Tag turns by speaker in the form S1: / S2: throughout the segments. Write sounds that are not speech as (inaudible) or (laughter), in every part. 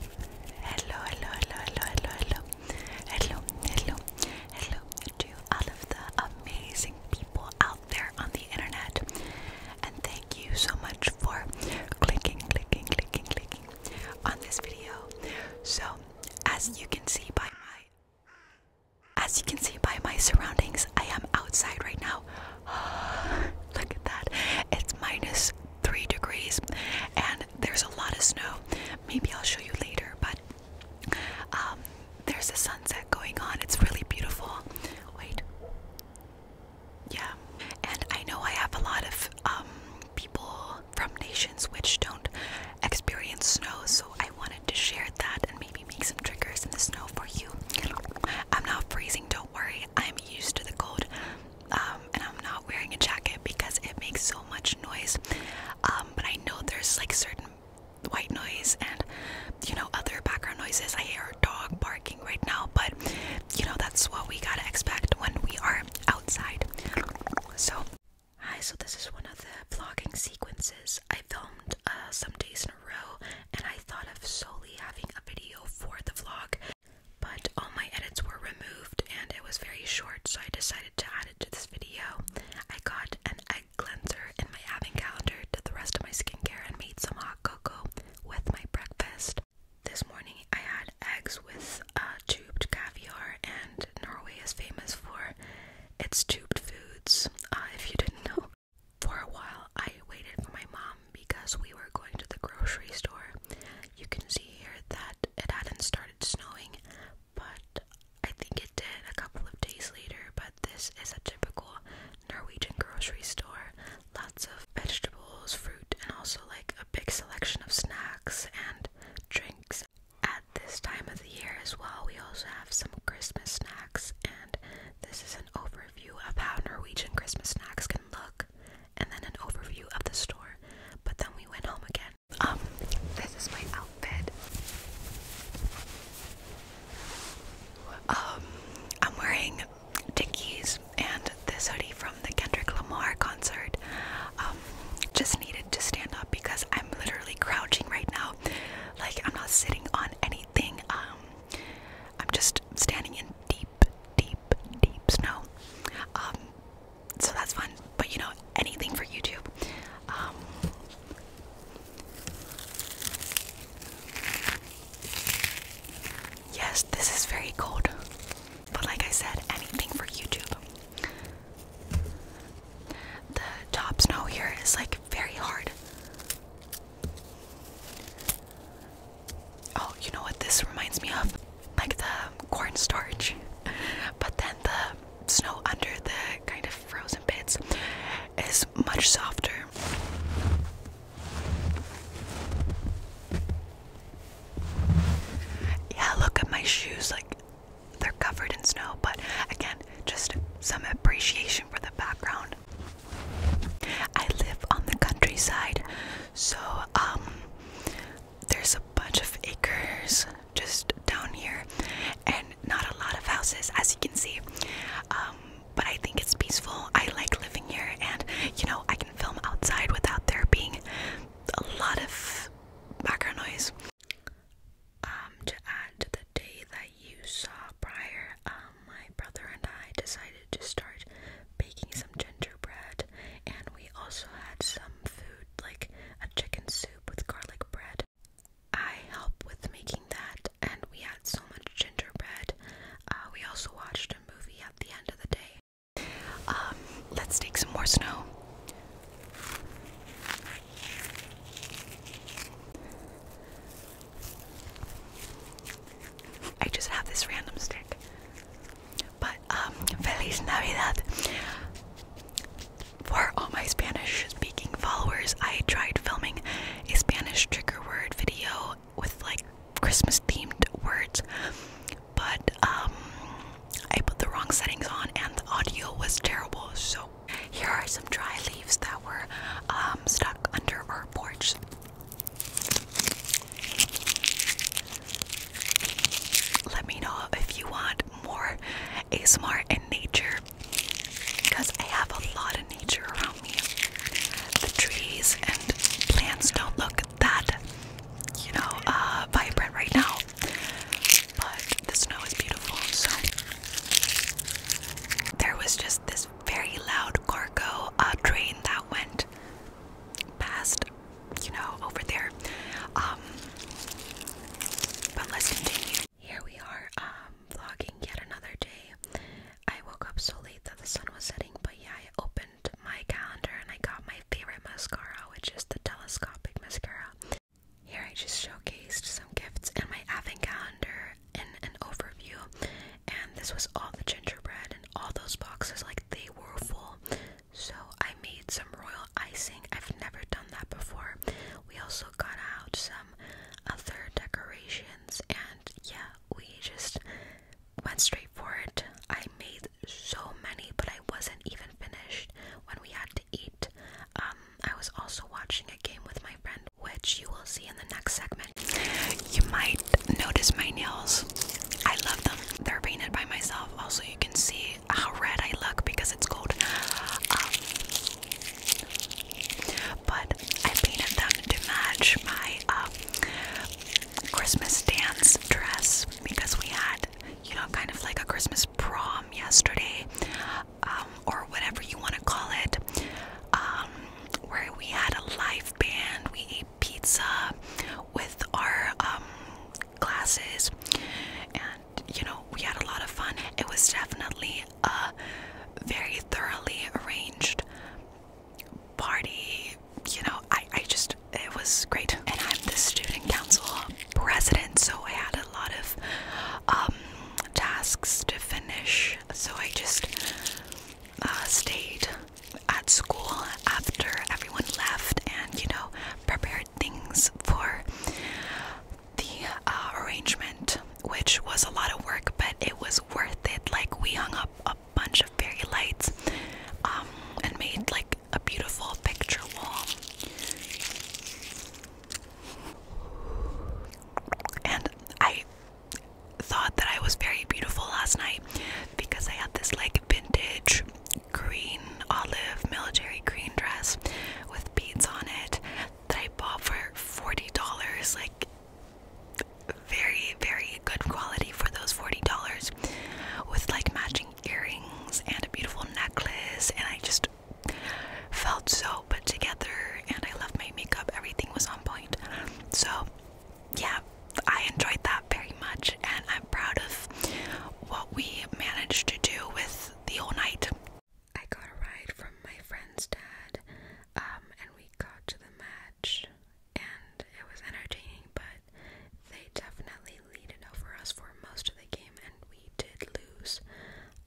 S1: Hello, hello, hello, hello, hello, hello, hello, hello, hello to all of the amazing people out there on the internet. And thank you so much for clicking, clicking, clicking, clicking on this video. So, as you can see by my, as you can see by my surroundings, I am outside right now. (gasps) Look at that! It's minus three degrees and there's a lot of snow maybe i'll show you later but um, there's a sunset going on it's really beautiful wait yeah and i know i have a lot of um, people from nations which don't experience snow so i wanted to share that and maybe make some triggers in the snow for you i'm not freezing don't worry i'm used to the cold um, and I'm not wearing a jacket because it makes so much noise. Um, but I know there's like certain white noise and you know other background noises. I hear a dog barking right now, but you know that's what we gotta expect when we are outside. So, hi. So this is one of the vlogging sequences I filmed uh, some days in a row, and I thought of solely having a video for the vlog but all my edits were removed and it was very short, so I decided to add it to this video. I got an egg cleanser in my advent calendar, did the rest of my skincare, and made some hot cocoa with my breakfast. This morning I had eggs with a uh, tubed caviar, and Norway is famous for its tubed foods, uh, if you didn't know. For a while, I waited for my mom because we were going to the grocery store you can see here that it hadn't started snowing, but I think it did a couple of days later. But this is a typical Norwegian grocery store lots of vegetables, fruit, and also like a big selection of snacks and drinks. At this time of the year, as well, we also have some Christmas snacks, and this is an overview of how Norwegian Christmas snacks can look and then an overview of the store, but then we went home again. Um, this is my outfit. Um, I'm wearing Dickies and this hoodie from the Kendrick Lamar concert. Um, just needed to stand up because I'm literally crouching right now. Like, I'm not sitting on anything. Um, I'm just standing in deep, deep, deep snow. Um, so that's fun. But you know, anything for YouTube. Um, yes, this is very cold. But like I said, anything for YouTube. The top snow here is like very hard. Oh, you know what this reminds me of? Like the cornstarch, but then the snow under the kind of frozen bits is much softer. Yeah, look at my shoes, like they're covered in snow, but again, just some appreciation for the background. I live on the countryside, so um there's a bunch of acres just down here and not a lot of houses as you can see um, but I think it's peaceful I like living here and you know I can film outside without there being a lot of background noise um, to add to the day that you saw prior um, my brother and I decided decided to start baking some gingerbread, and we also had some food like a chicken soup with garlic bread. I helped with making that, and we had so much gingerbread. Uh, we also watched a movie at the end of the day. Um, let's take some more snow. I just have this random stick. But um, Feliz Navidad. For all my Spanish speaking followers, I tried filming a Spanish trigger word video with like Christmas themed words, but um, I put the wrong settings on and the audio was terrible. So, here are some dry leaves that were um, stuck under our porch. Let me know if you want more ASMR in nature because I have a lot of nature around me. The trees and plants don't look that, you know, uh, vibrant right now, but the snow is beautiful. So there was just this very loud cargo uh, train that went past you know, over there. Um, but let's continue. Here we are, um, vlogging yet another day. I woke up so late that the sun was setting, but yeah, I opened my calendar and I got my favorite mascara, which is the telescopic mascara. Here I just showcased some gifts in my advent calendar in an overview, and this was all the gingerbread and all those boxes, like they were full. So I made some royal icing. I've never done that before. We also got out some other decorations and yeah, we just went straight for it. I made so many, but I wasn't even finished when we had to eat. Um, I was also watching a game with my friend, which you will see in the next segment. You might notice my nails. I love them. They're painted by myself. Also, you can see how red I look because it's cold. Um, but I painted them to match my um, Christmas dance dress because we had, you know, kind of like a Christmas prom yesterday, um, or whatever you want to call it, where we had a live band. We pizza with our um, glasses, and you know, we had a lot of fun. It was definitely a very thoroughly arranged party. You know, I, I just, it was great. And I'm the student council president, so I had a lot of um, tasks to finish. So I just uh, stayed at school after everyone left and you know prepared things for the uh, arrangement which was a lot of work but it was worth it like we hung up a bunch of fairy lights um, and made like a beautiful picture wall and I thought that I was very beautiful last night because I had this like vintage green olive military green dress with beads on it that I bought for $40. Like, very, very good quality for those $40 with like matching earrings and a beautiful necklace. And I just felt so put together and I love my makeup. Everything was on point. So yeah, I enjoyed that very much, and I'm proud of what we managed to do with the whole night. I got a ride from my friend's dad, um, and we got to the match, and it was entertaining, but they definitely leaded over us for most of the game, and we did lose.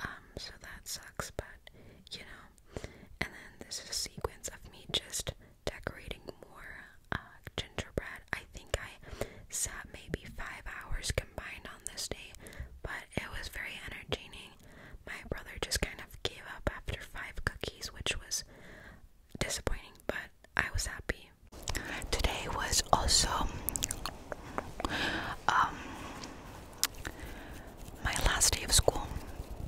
S1: Um, so that sucks, but you know. And then this is a sequence of me just decorating more uh, gingerbread. I think I sat maybe five hours combined on this day, but it was very energizing. My brother just kind of gave up after five cookies, which was disappointing, but I was happy. Today was also um, my last day of school,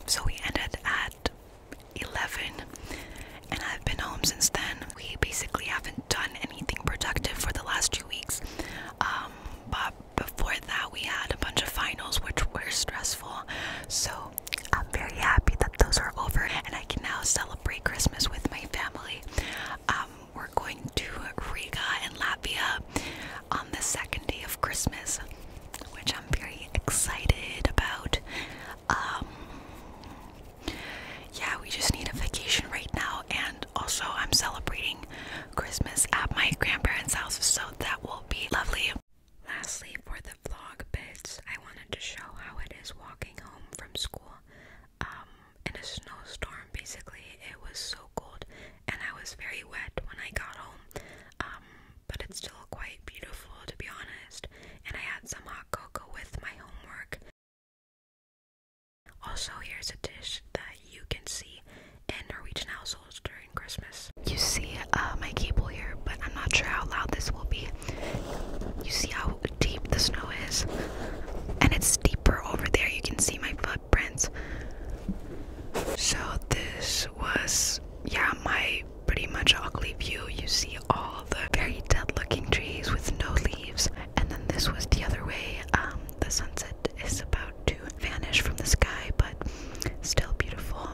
S1: so we ended at 11 and I've been home since then. We basically haven't done anything productive for the last two weeks. Um, but before that, we had a bunch of finals which were stressful. So I'm very happy that those are over and I can now celebrate Christmas with my family. Um, we're going to Riga in Latvia on the second day of Christmas, which I'm very excited about. Um, yeah, we just need a vacation right now, and also I'm celebrating Christmas at my grandparents' house, so that will be lovely. Lastly, for the vlog bits, I wanted to show how it is walking home from school um, in a snowstorm. Basically, it was so cold, and I was very wet when I got home, um, but it's still quite beautiful to be honest and I had some hot cocoa with my homework. Also, here's a dish that you can see in Norwegian households during Christmas. You see uh, my cable here, but I'm not sure how loud this will be. You see how deep the snow is, and it's deeper over there. You can see my footprints. So, this was, yeah, my pretty much ugly view. You see all the very dead looking trees with no leaves. And then this was the other way. Um, the sunset is about to vanish from the sky, but still beautiful.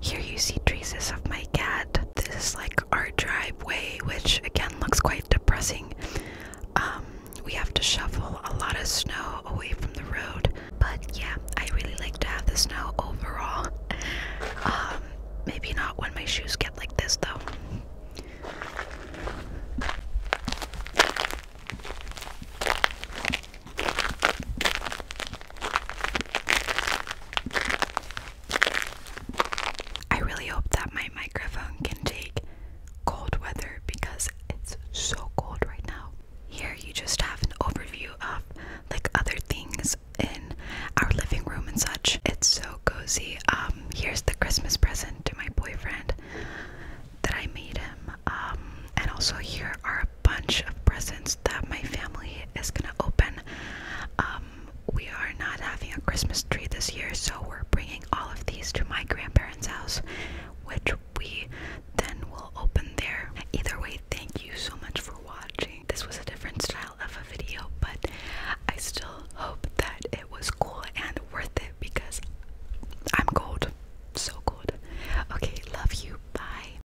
S1: Here you see traces of my cat. This is like our driveway, which again looks quite depressing. Um, we have to shovel a lot of snow away from the road, but yeah, I really like to have the snow overall. Um, maybe not when my shoes get like this though. I really hope that my microphone can take cold weather because it's so cold right now. Here you just have an overview of like other things in our living room and such. It's so cozy. Um here's the Christmas present to my boyfriend that I made him. Um and also here are bunch of presents that my family is gonna open. Um, we are not having a Christmas tree this year, so we're bringing all of these to my grandparents' house, which we then will open there. Either way, thank you so much for watching. This was a different style of a video, but I still hope that it was cool and worth it because I'm cold. So cold. Okay, love you. Bye.